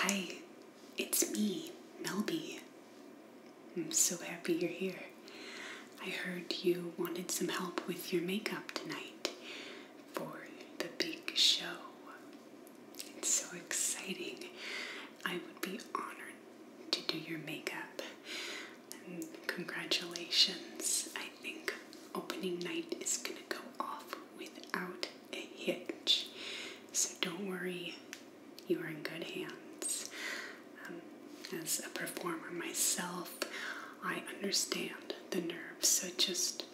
Hi, it's me, Melby. I'm so happy you're here. I heard you wanted some help with your makeup tonight for the big show. It's so exciting. I would be honored to do your makeup congratulations. I think opening night is going to go off without a hitch. So don't worry, you are in good hands. Um, as a performer myself, I understand the nerves, so just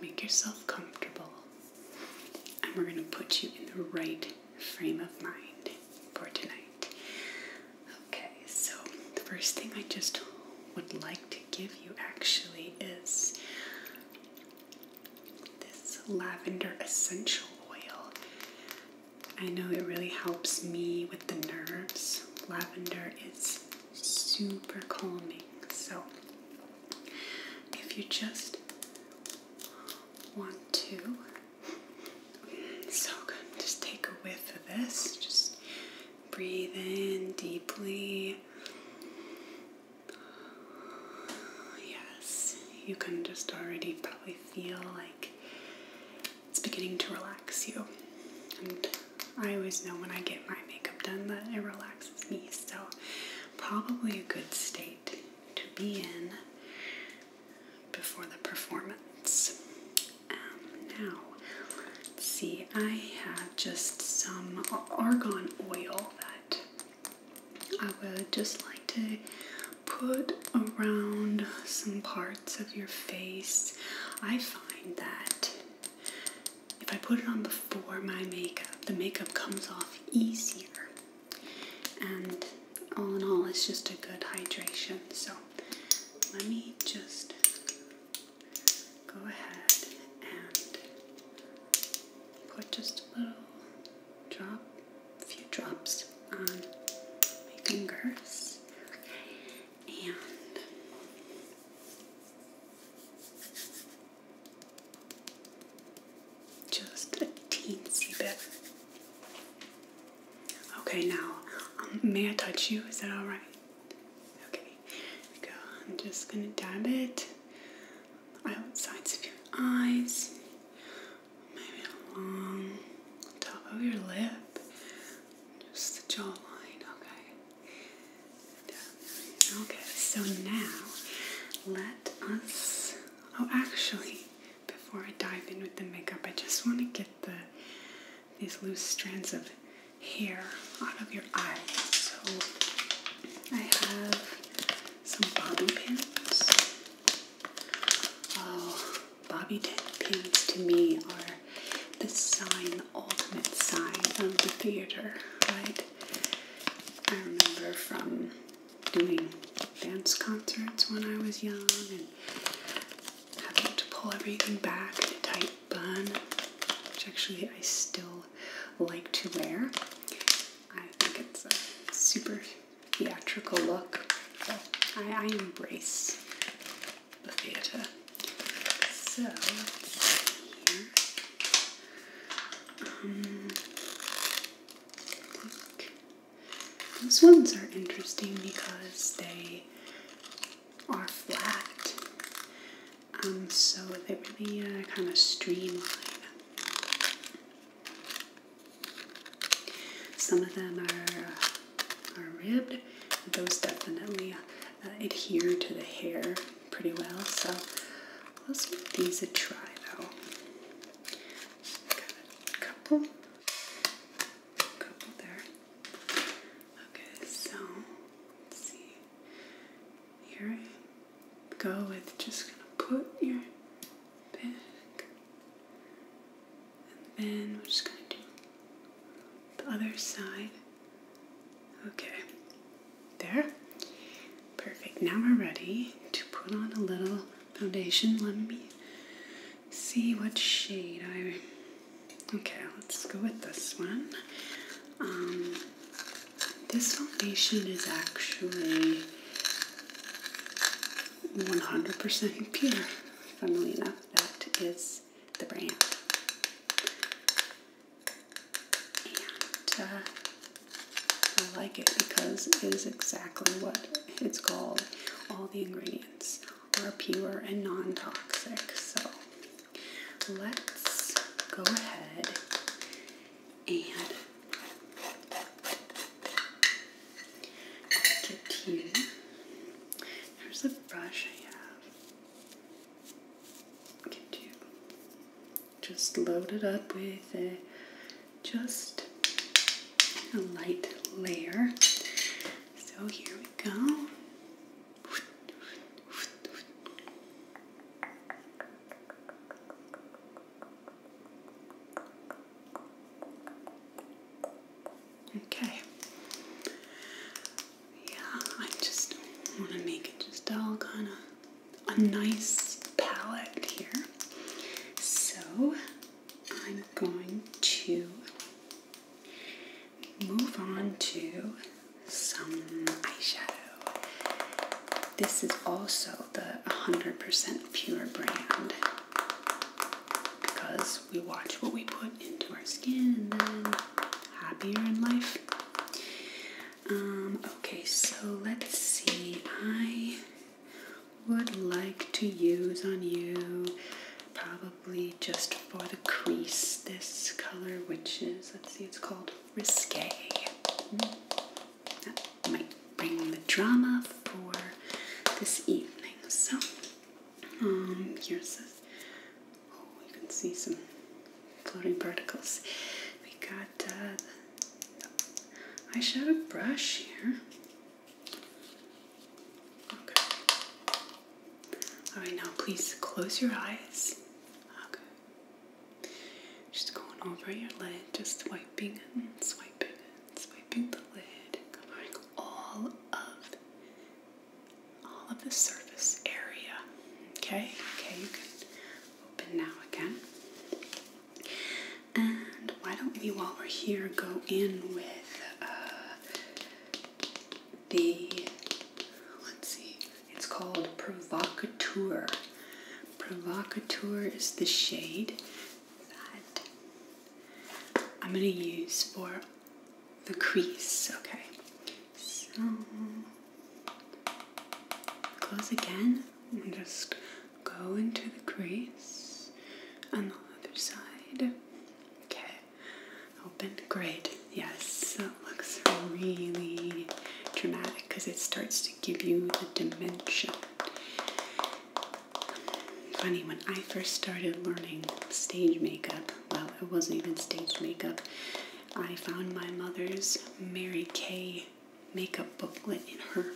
make yourself comfortable. And we're going to put you in the right frame of mind for tonight. Okay, so the first thing I just would like to give you actually is this lavender essential oil. I know it really helps me with the nerves. Lavender is super calming. So if you just want to so good. Just take a whiff of this. Just breathe in deeply. Yes, you can just already probably feel like it's beginning to relax you. And I always know when I get my makeup done that it relaxes me. So, probably a good state to be in before the performance. Um, now, see, I have just some argon oil that I would just like to put around some parts of your face. I find that if I put it on before my makeup, the makeup comes off easier. And all in all, it's just a good hydration. So let me just go ahead and put just a little drop, a few drops on my fingers. And just a teensy bit. Okay, now, um, may I touch you? Is that all right? Okay, go. I'm just gonna dab it sides of your eyes, maybe along top of your lip, just the jawline. Okay. Okay. So now, let us. Oh, actually, before I dive in with the makeup, I just want to get the these loose strands of hair out of your eyes. So I have some bobby pins. Oh, bobby pins to me are the sign, the ultimate sign of the theater, right? I remember from doing dance concerts when I was young and having to pull everything back in a tight bun, which actually I still like to wear. I think it's a super theatrical look. I, embrace the theater. So um, these ones are interesting because they are flat. Um, so they really uh, kind of streamline. Some of them are, uh, are ribbed. Those definitely uh, adhere to the hair pretty well. So let's give these a try though. couple couple there. Okay, so let's see. Here go with just gonna put your back, and then we're just gonna do the other side. Okay, there. Perfect. Now we're ready to put on a little foundation. Let me see what shade I. Okay, let's go with this one. Um, this foundation is actually 100% pure. Funnily enough, that is the brand. And uh, I like it because it is exactly what it's called all the ingredients are pure and non toxic. So let's go ahead and get you. There's the brush I have. Get you. Just load it up with a, just a light layer so here we go. Okay. Yeah, I just want to make it just all kind of a nice palette here. So I'm going to move on to some eyeshadow. This is also the 100% pure brand because we watch what we put into our skin and then happier in life. Um, okay, so let's see. I would like to use on you probably probably just for the crease this color, which is, let's see, it's called Risque. That might bring the drama for this evening. So, um, here's this. Oh, you can see some floating particles. We got uh, the eyeshadow brush here. Okay. All right, now please close your eyes. Okay. Just going over your lid, just wiping and swiping and swiping the lid, covering all of all of the surface area. Okay. Okay, you can open now again. And why don't we, while we're here, go in with uh, the let's see, it's called Provocateur. Provocateur is the shade that I'm gonna use for the crease. Okay, close again and just go into the crease on the other side. Okay. Open. Great. Yes, that looks really dramatic because it starts to give you the dimension. Funny, when I first started learning stage makeup, well, it wasn't even stage makeup, I found my mother's Mary Kay makeup booklet in her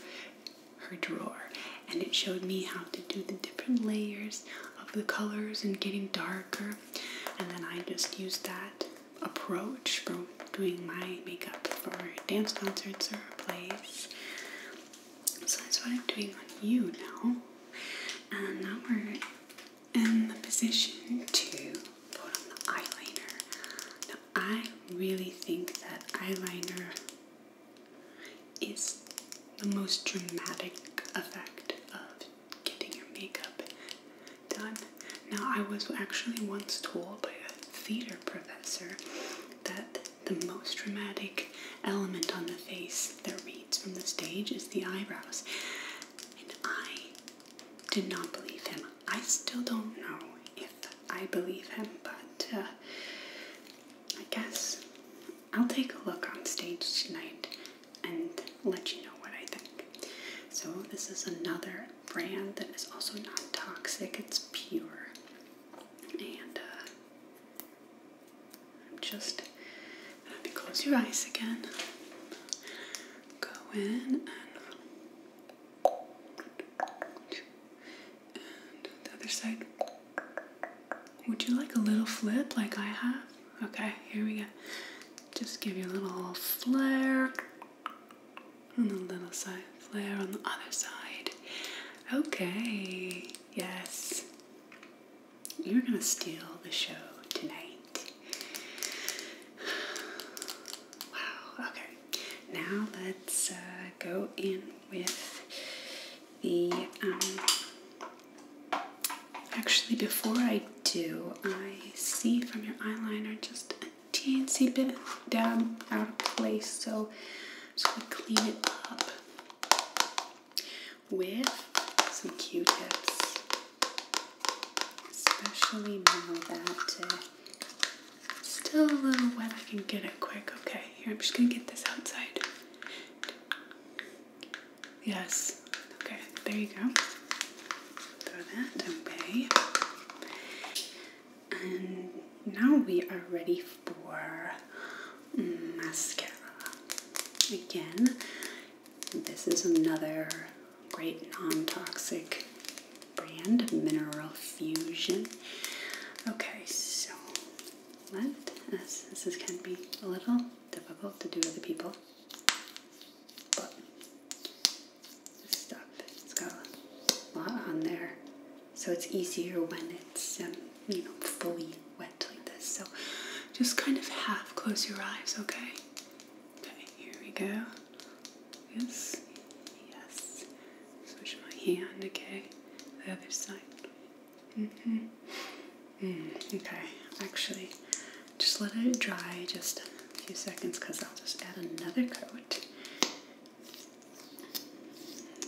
her drawer and it showed me how to do the different layers of the colors and getting darker. And then I just used that approach for doing my makeup for dance concerts or plays. So that's what I'm doing on you now. And now we're in the position to put on the eyeliner. Now I really think that eyeliner is the most dramatic effect of getting your makeup done. Now, I was actually once told by a theater professor that the most dramatic element on the face that reads from the stage is the eyebrows. And I did not believe him. I still don't know if I believe him, but uh, I guess I'll take a look on stage tonight and let you know what I think. So, this is another brand that is also not toxic, it's pure. And uh, I'm just gonna have close your eyes again. Go in and the other side. Would you like a little flip like I have? Okay, here we go. Just give you a little flare and a little side, flare on the other side. Okay, yes. You're gonna steal the show tonight. Wow, okay. Now let's uh, go in with the, um, actually before I do, I see from your eyeliner just a teensy bit down out of place, so just going to clean it up with some Q-tips, especially now that uh, it's still a little wet, I can get it quick. Okay, here, I'm just going to get this outside. Yes. Okay, there you go. Throw that away. And now we are ready for mascara. Again, this is another great non toxic brand, Mineral Fusion. Okay, so let us, this is going to be a little difficult to do with the people. But this it's got a lot on there. So it's easier when it's, um, you know, fully wet like this. So just kind of half close your eyes, okay? Okay, here we go. Yes, yes. Switch my hand, okay? The other side. Mm-hmm. Mm -hmm. okay, actually, just let it dry just a few seconds because I'll just add another coat.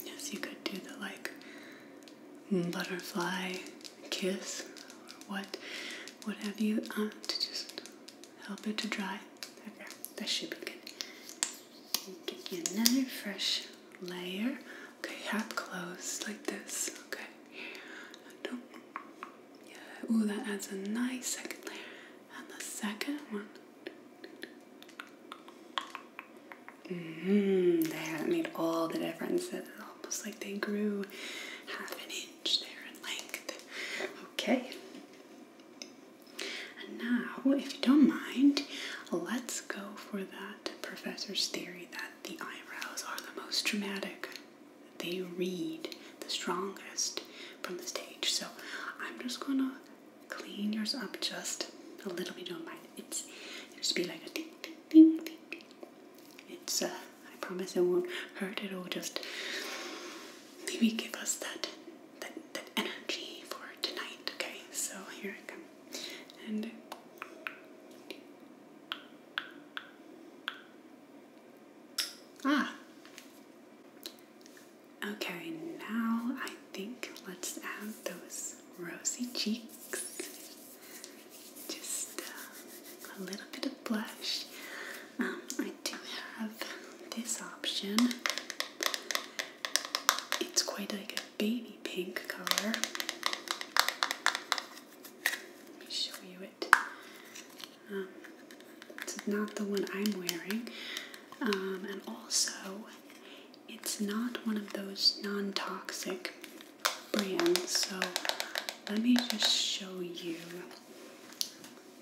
Yes, you could do the like butterfly kiss or what, what have you, um, to just help it to dry. Okay, that should be good. Give another fresh layer Okay, half closed like this. Okay. And, oh, yeah. Ooh, that adds a nice second layer. And the second one. Mm-hmm. That made all the difference. It's almost like they grew half an inch there in length. Okay. And now, if you don't mind, let's go for that professor's theory that that the eyebrows are the most dramatic. They read the strongest from the stage. So I'm just gonna clean yours up just a little bit. Don't mind. It's it'll just be like a ding ding ding ding ding. It's uh, I promise it won't hurt. It'll just maybe give us that that that energy for tonight. Okay. So here it comes and ah okay now I think let's add those rosy cheeks just uh, a little bit of blush um, I do have this option it's quite like baby pink color. Let me show you it. Um, it's not the one I'm wearing. Um, and also, it's not one of those non toxic brands. So, let me just show you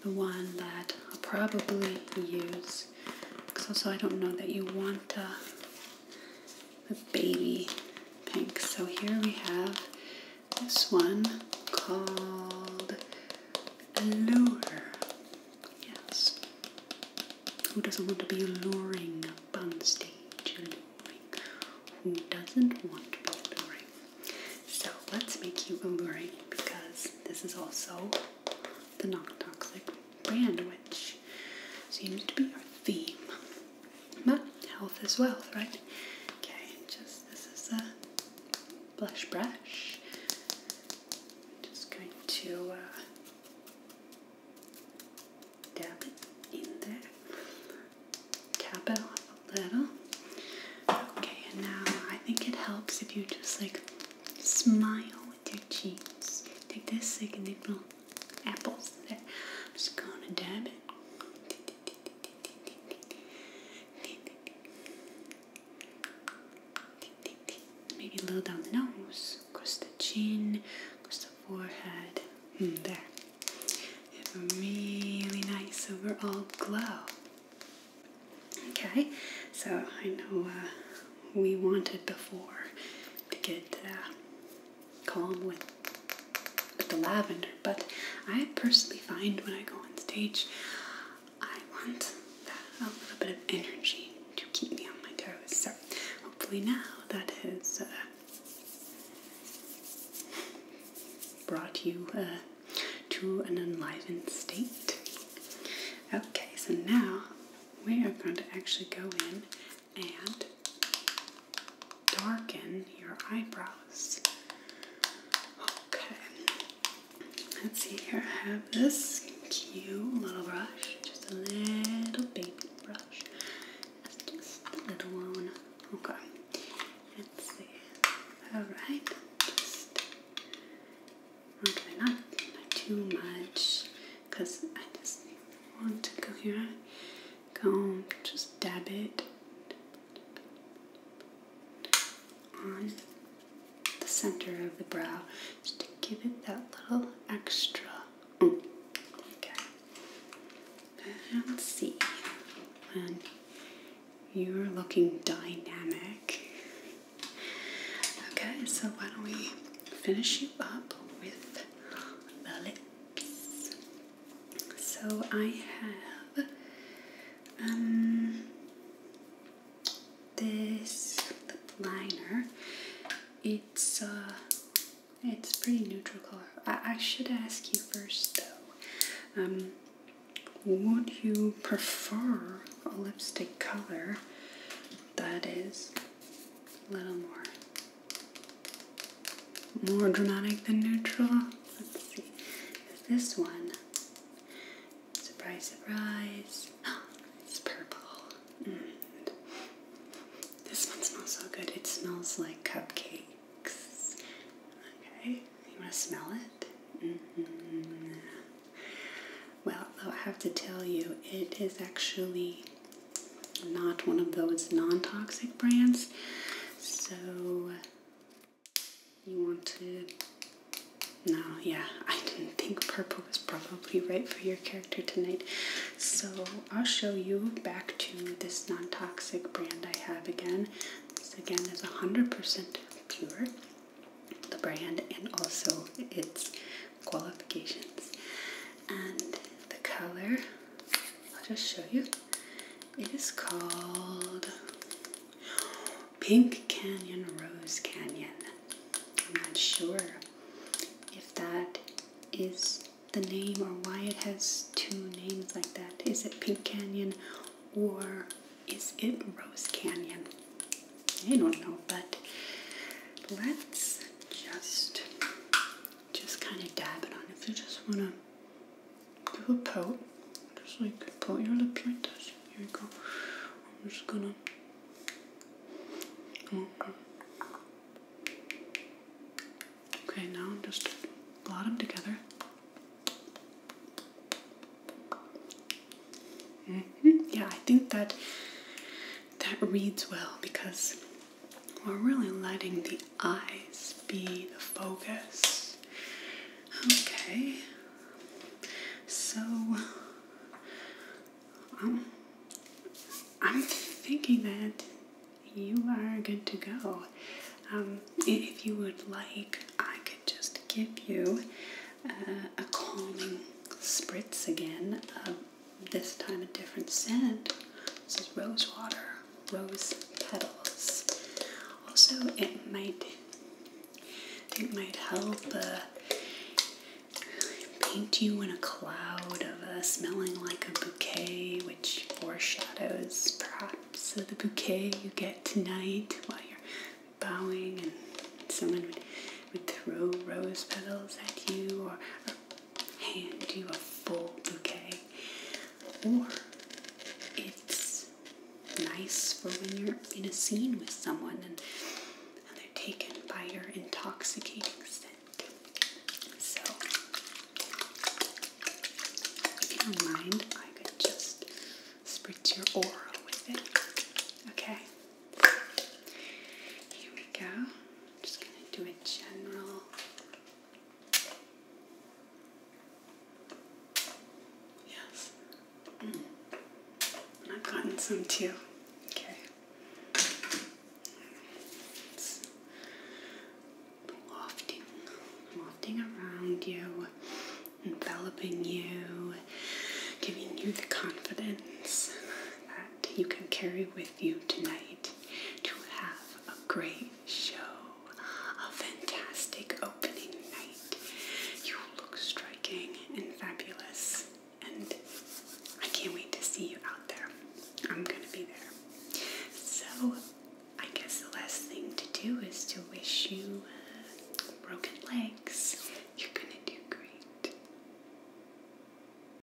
the one that I'll probably use. Because also, I don't know that you want to uh, the baby pink. So here we have this one called Allure. Yes. Who doesn't want to be alluring up on stage? Alluring. Who doesn't want to be alluring? So let's make you alluring because this is also the non toxic brand, which seems to be our theme. But health is wealth, right? Okay, just this is a blush brush. just going to uh, dab it in there, tap it off a little. Okay, and now I think it helps if you just like smile with your cheeks. Take this signal apples there. I'm just gonna dab it. Maybe a little down the nose, across the chin, across the forehead. Mm, there. You have a really nice overall glow. Okay, so I know uh, we wanted before to get uh, calm with, the lavender, but I personally find when I go on stage, I want that, a little bit of energy to keep me on my toes. So hopefully now that has uh, brought you uh, to an enlivened state. Okay, so now we are going to actually go in and darken your eyebrows. Okay, let's see here. I have this cute little brush, just a little baby brush. That's just a little one. Okay, let's see. Alright, okay, not too much because I just want to go here. Go just dab it on the center of the brow just to give it that little extra. Okay. And see when you're looking dynamic. Okay, so why don't we finish you up with the lip? So I have um, this liner. It's uh, it's pretty neutral color. I, I should ask you first though. Um, would you prefer a lipstick color that is a little more more dramatic than neutral. Let's see. This one. Surprise, surprise. it's purple. Mm. This one smells so good. It smells like cupcakes. Okay. You want to smell it? Mm-hmm. Well, though I have to tell you, it is actually not one of those non toxic brands. So you want to. No, yeah, I didn't think purple was probably right for your character tonight. So I'll show you back to this non toxic brand I have again. This again is 100% pure, the brand, and also its qualifications and the color I'll just show you. It is called Pink Canyon Rose Canyon. I'm not sure if that is the name or why it has two names like that. Is it Pink Canyon or is it Rose Canyon? I don't know, but let's just just kind of dab it on. If you just want to do a coat, just like coat your lip like this. Here we go. I'm just gonna. Okay. Okay, now just blot them together. Mm-hmm. Yeah, I think that that reads well because we're really letting the eyes be the focus. Okay. So, um, I'm thinking that you are good to go. Um, if you would like, I could just give you uh, a calming spritz again this time a different scent. This is rose water, rose petals. Also, it might it might help uh, paint you in a cloud of uh, smelling like a bouquet, which foreshadows perhaps the bouquet you get tonight while you're bowing and someone would, would throw rose petals at you or hand you a full bouquet, or it's nice for when you're in a scene with someone and, they're taken by your intoxicating scent. So, if you don't mind, I could just spritz your aura with it. Okay? Here we go. I'm just going to do a general Yes. Mm. I've gotten some too. Okay. It's wafting, around you, enveloping you, giving you the confidence that you can carry with you tonight to have a great show, a fantastic opening night. You look striking and fabulous, and I can't wait to see you out there. I'm gonna be there. So, I guess the last thing to do is to wish you uh, broken legs. You're gonna do great.